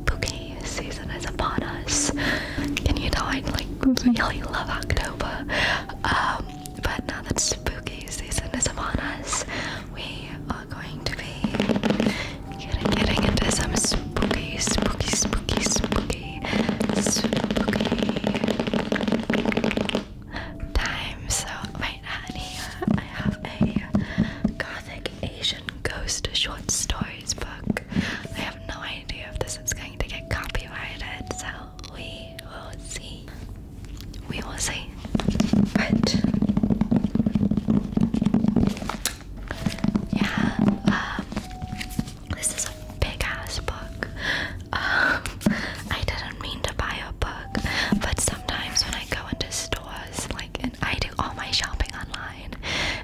spooky season is upon us. Can you tell I like really love October? Um, but now that spooky season is upon us, we are going to be getting, getting into some spooky, spooky, spooky, spooky, spooky time. So right now here I have a gothic Asian ghost short stories book. I have no idea if this is going to get copyrighted, so we will see. We will see. But yeah, um, this is a big ass book. Um, I didn't mean to buy a book, but sometimes when I go into stores like, and I do all my shopping online.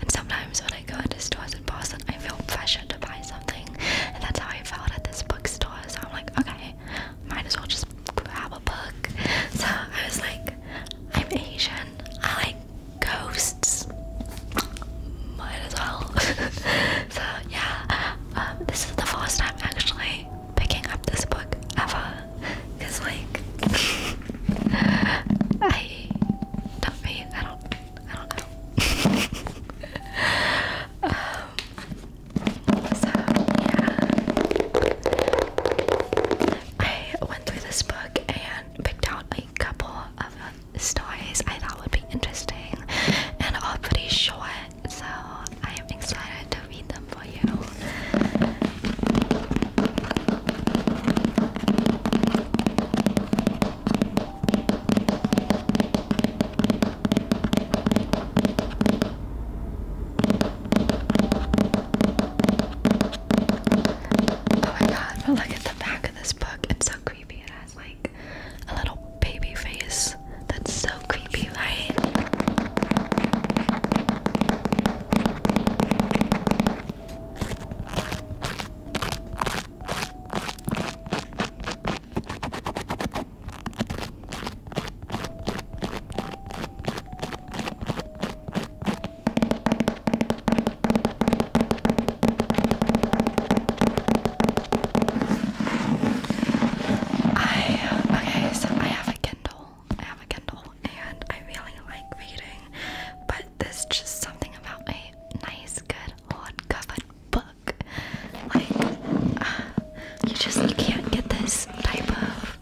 And sometimes when I go into stores in Boston, I feel pressured to buy something, and that's how I felt at this bookstore. So I'm like, okay, might as well just grab a book. So I was like, I'm Asian, I like ghosts. Might as well. so yeah, um, this is the first time actually picking up this book ever. Cause like I don't mean I don't I don't know. Um, so yeah I went through this book and picked out a couple of stories I thought would be interesting and all pretty short so I am excited to read them. Oh my god, but look at the back of this book. It's so creepy. It has like a little baby face. That's so creepy, right? I okay, so I have a Kindle I have a Kindle and I really like reading, but there's just something about a nice, good, hard-covered book. Like, you just you can't get this type of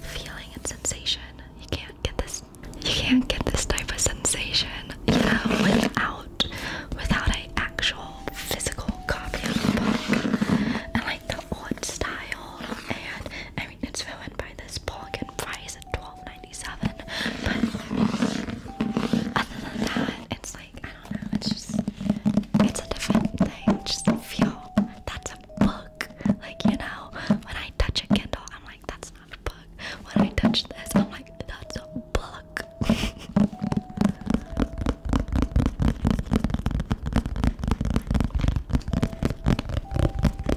feeling and sensation. You can't get this. You can't get this type of sensation, you without without a actual physical copy of the book and like the old style and. I it's ruined by this Pelican price at twelve ninety seven. But other than that, it's like, I don't know, it's just, it's a different thing. Just feel that's a book. Like, you know, when I touch a Kindle, I'm like, that's not a book. When I touch this, I'm like, that's a book.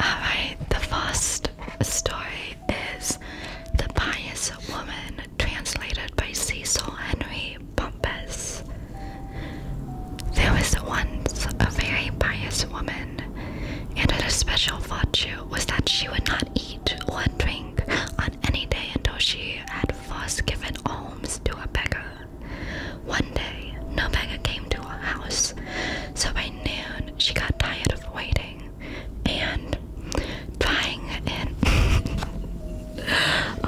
Alright, the first story is The Pious Woman, translated by Cecil Henry Bumpus. There was once a very pious woman, and her special virtue was that she would not eat or drink on any day until she had first given alms to a beggar. One day, no beggar came to her house, so by noon she got tired of waiting and dying. in. oh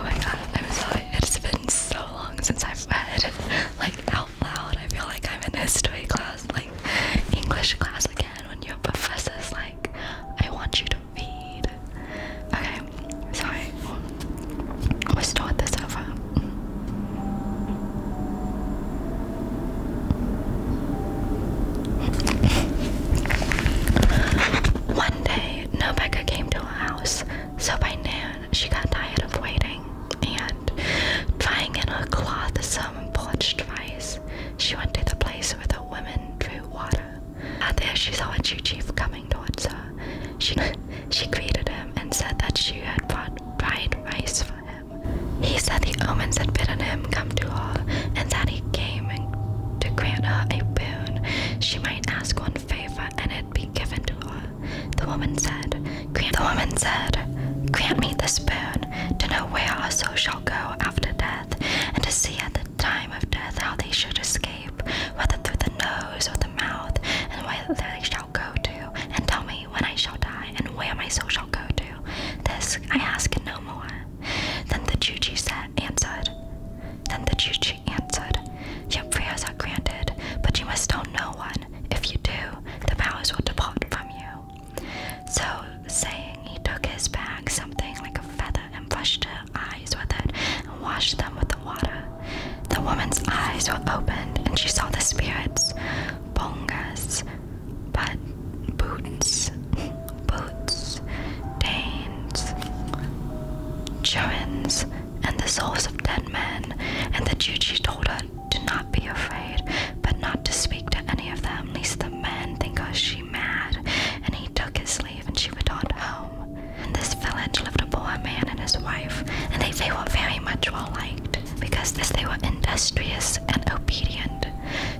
my god, I'm sorry, it's been so long since I've read like out loud. I feel like I'm in history class, like English class again, when your professor's like, I want you to Okay, sorry. We're still at One day, Nobecca came to our house, so by noon she got tired of waiting and trying in her cloth some parched rice. She went to the place where the women drew water. And there she saw a chief coming towards her. She, she greeted him and said that she had brought dried rice for him. He said the omens had bidden him come to her, and that he came to grant her a boon. She might ask one favor, and it be given to her. The woman said, grant, me this boon, to know where our soul shall go after death, and to see at the time of death how they should escape, whether through the nose or the mouth, and whether they shall go to, and tell me when I shall die, and where my soul shall go to. This I ask no more. Then the Juji said, answered. Then the Juji answered, Your prayers are granted, but you must tell no one. If you do, the powers will depart from you. So saying, he took his bag, something like a feather, and brushed it eyes with it and washed them with the water. The woman's eyes were opened, and she saw the spirits, bongas, but boots, boots, Danes, Churins, and the souls of dead men. And the Juji told her to not be afraid, but not to speak to any of them, lest the men think us she mad. And he took his and she was taught home. In this village lived a poor man and his wife, and they, were very much well liked, because they were industrious and obedient.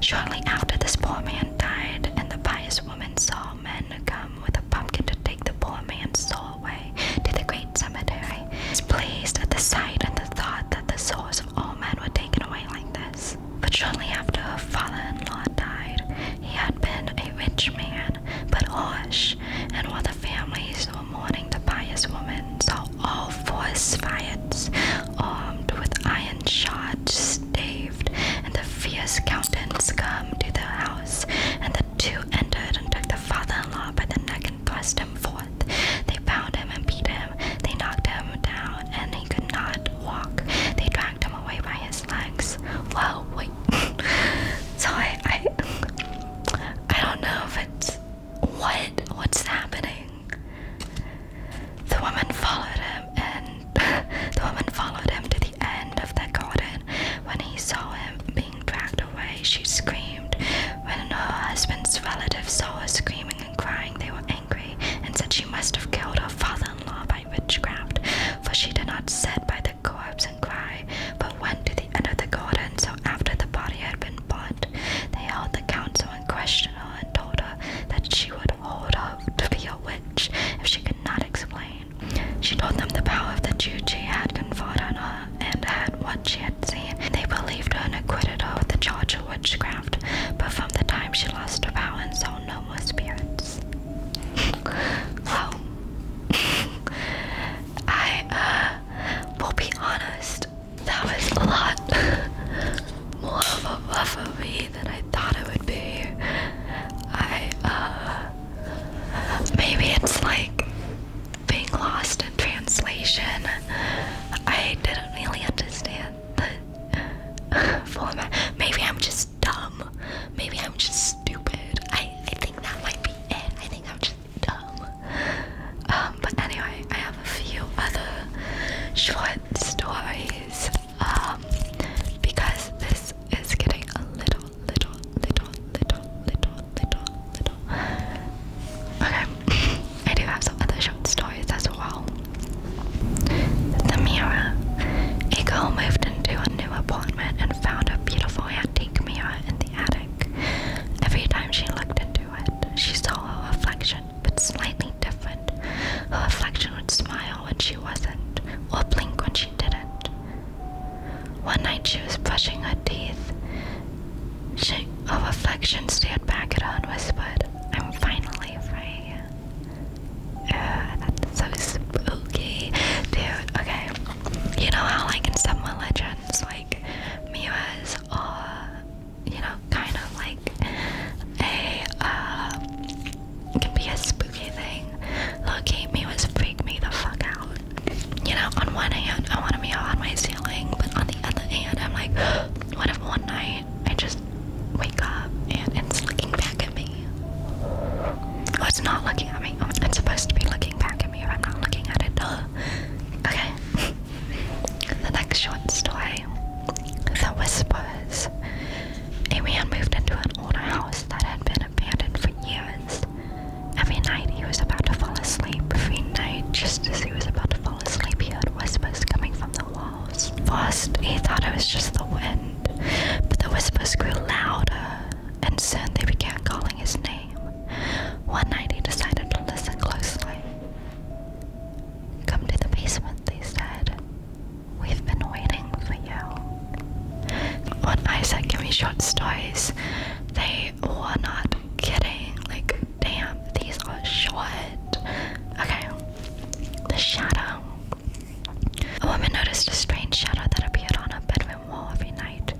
Shortly after this poor man died, and the pious woman saw men come with a pumpkin to take the poor man's soul away to the great cemetery, is pleased at the sight and the thought that the souls of all men were taken away like this. But shortly after her father-in-law died, he had been a rich man, but harsh, and while the families were mourning the pious woman, saw all four Sviots armed with iron shots staved, and the fierce countenance come to the house, and the two entered and took the father-in-law by the neck and thrust him forth. They bound him and beat him. They knocked him down, and he could not walk. They dragged him away by his his legs. wait. so I, I, I don't know if it's what what's happening. The woman followed him, and the woman followed him to the end of the garden. When he saw him being dragged away, she screamed. When her husband's relatives saw her screaming and crying, they were angry and said she must have killed her father-in-law by witchcraft, for she did not sit by the corpse and cry, but went to the end of the garden. So after the body had been burnt, they held the council and questioned her and told her that she would hold up to be a witch if she could not explain. She told them the power of the Jew had conferred on her and had what she had seen. They believed her and acquitted her of the charge of witchcraft, but from the time she lost her power and saw no more spirits so I uh, will be honest, that was a lot more of a rough of me than I thought it would be. I uh, maybe it's like being lost in translation. I didn't really understand the format. Maybe I'm just dumb. Maybe I'm just stupid. I, I think that might be it. I think I'm just dumb. Um, but anyway, I have a few other short stories um, because this is getting a little, little, little, little, little, little, little. Okay, I do have some other short stories as well. The mirror. A girl moved into a new apartment and found a beautiful antique mirror in the attic. Every time she looked into it, she saw her reflection, but slightly different. Her reflection would smile when she wasn't, or blink when she didn't. One night she was brushing her teeth. She, her reflection stared back at her and whispered, I'm finally free that's so spooky, dude. Okay, you know how like in some legends, like Miras are, you know, kind of like a uh, can be a spooky thing. Loki Miras freak me the fuck out. You know, on one hand I want to be on my ceiling, but on the other hand I'm like, what if one night I just wake up and it's looking back at me. Oh, it's not looking at me. Oh, it's supposed to be looking back at me if I'm not looking at it. Duh. Okay. the next short story The Whispers. A man moved into an old house that had been abandoned for years. Every night he was about to fall asleep. Every night, just as he was about to fall asleep, he heard whispers coming from the walls. First, he thought it was just the wind. But the whispers grew louder, and soon they began calling his name. One night he decided to listen closely. Come to the basement, they said. We've been waiting for you. When Isaac said give me short stories, they were not kidding. Like, damn, these are short. Okay. The shadow a woman noticed a strange shadow that appeared on her bedroom wall every night,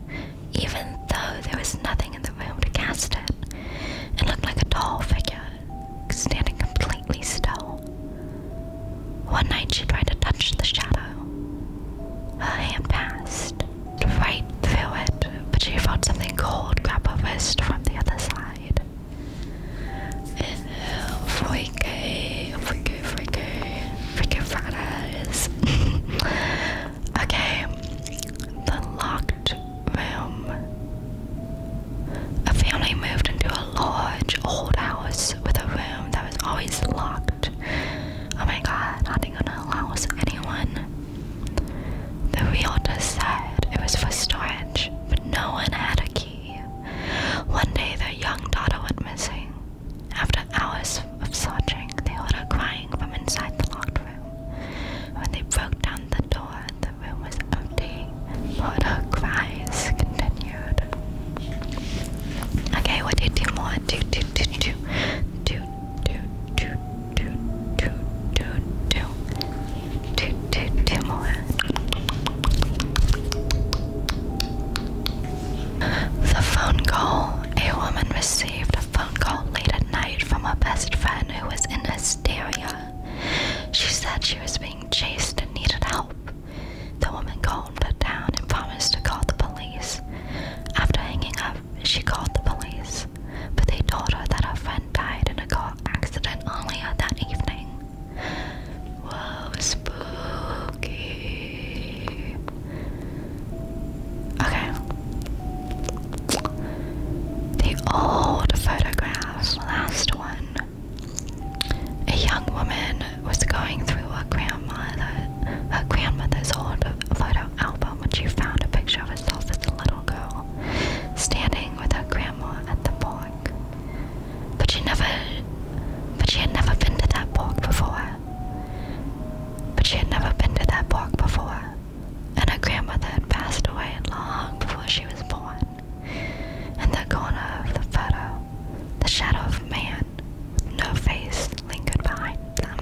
even though there was nothing in the room to cast it. It looked like a tall figure, standing completely still. One night she tried to touch the shadow. Her hand passed right through it, but she felt something cold grab her wrist from the other side freaky, freaky, freaky, freaky Fridays. okay, the locked room. A family moved into a large old house with a room that was always locked. Oh my god, not even gonna allow anyone. The realtor said it was for storage, but no one had a key. One day their young daughter went missing. After hours of searching, they heard her crying from inside the locked room. When they broke down the door, the room was empty, but her cries continued. Okay, what do you do more? Do, do, do, do, do, do, do, do, do, do, do, do, do, do more. The phone call. A woman received a phone call late at night from her best friend who was in hysteria. She said she was being chased and needed help. The woman calmed her down and promised to call the police. After hanging up, she called the police, but they told her that her friend died in a car accident earlier that evening. Whoa, spooky. Okay. The old photographs, last one. A young woman was going through a grandmother, her grandmother's old photo album when she found a picture of herself as a little girl standing with her grandma at the park but she never but she had never been to that park before. But she had never been to that park before. And her grandmother had passed away long before she was born. And the corner of the photo, the shadow of man, no face, lingered behind them.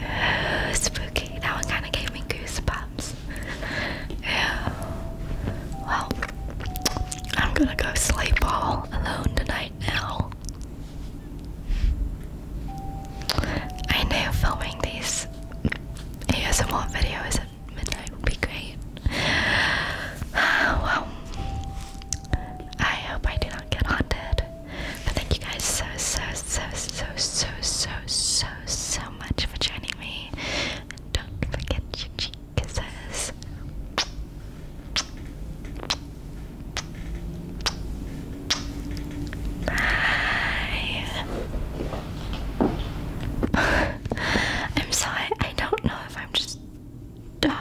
Ooh, spooky. That one kinda gave me goosebumps. Ew. Well, I'm gonna go sleep all alone tonight now. I know filming these ASMR videos at midnight would be great. well, I hope I do not get haunted. But thank you guys so, so, so, so, so, so, so, so much for joining me. don't forget your Kisses. I'm sorry, I don't know if I'm just dumb.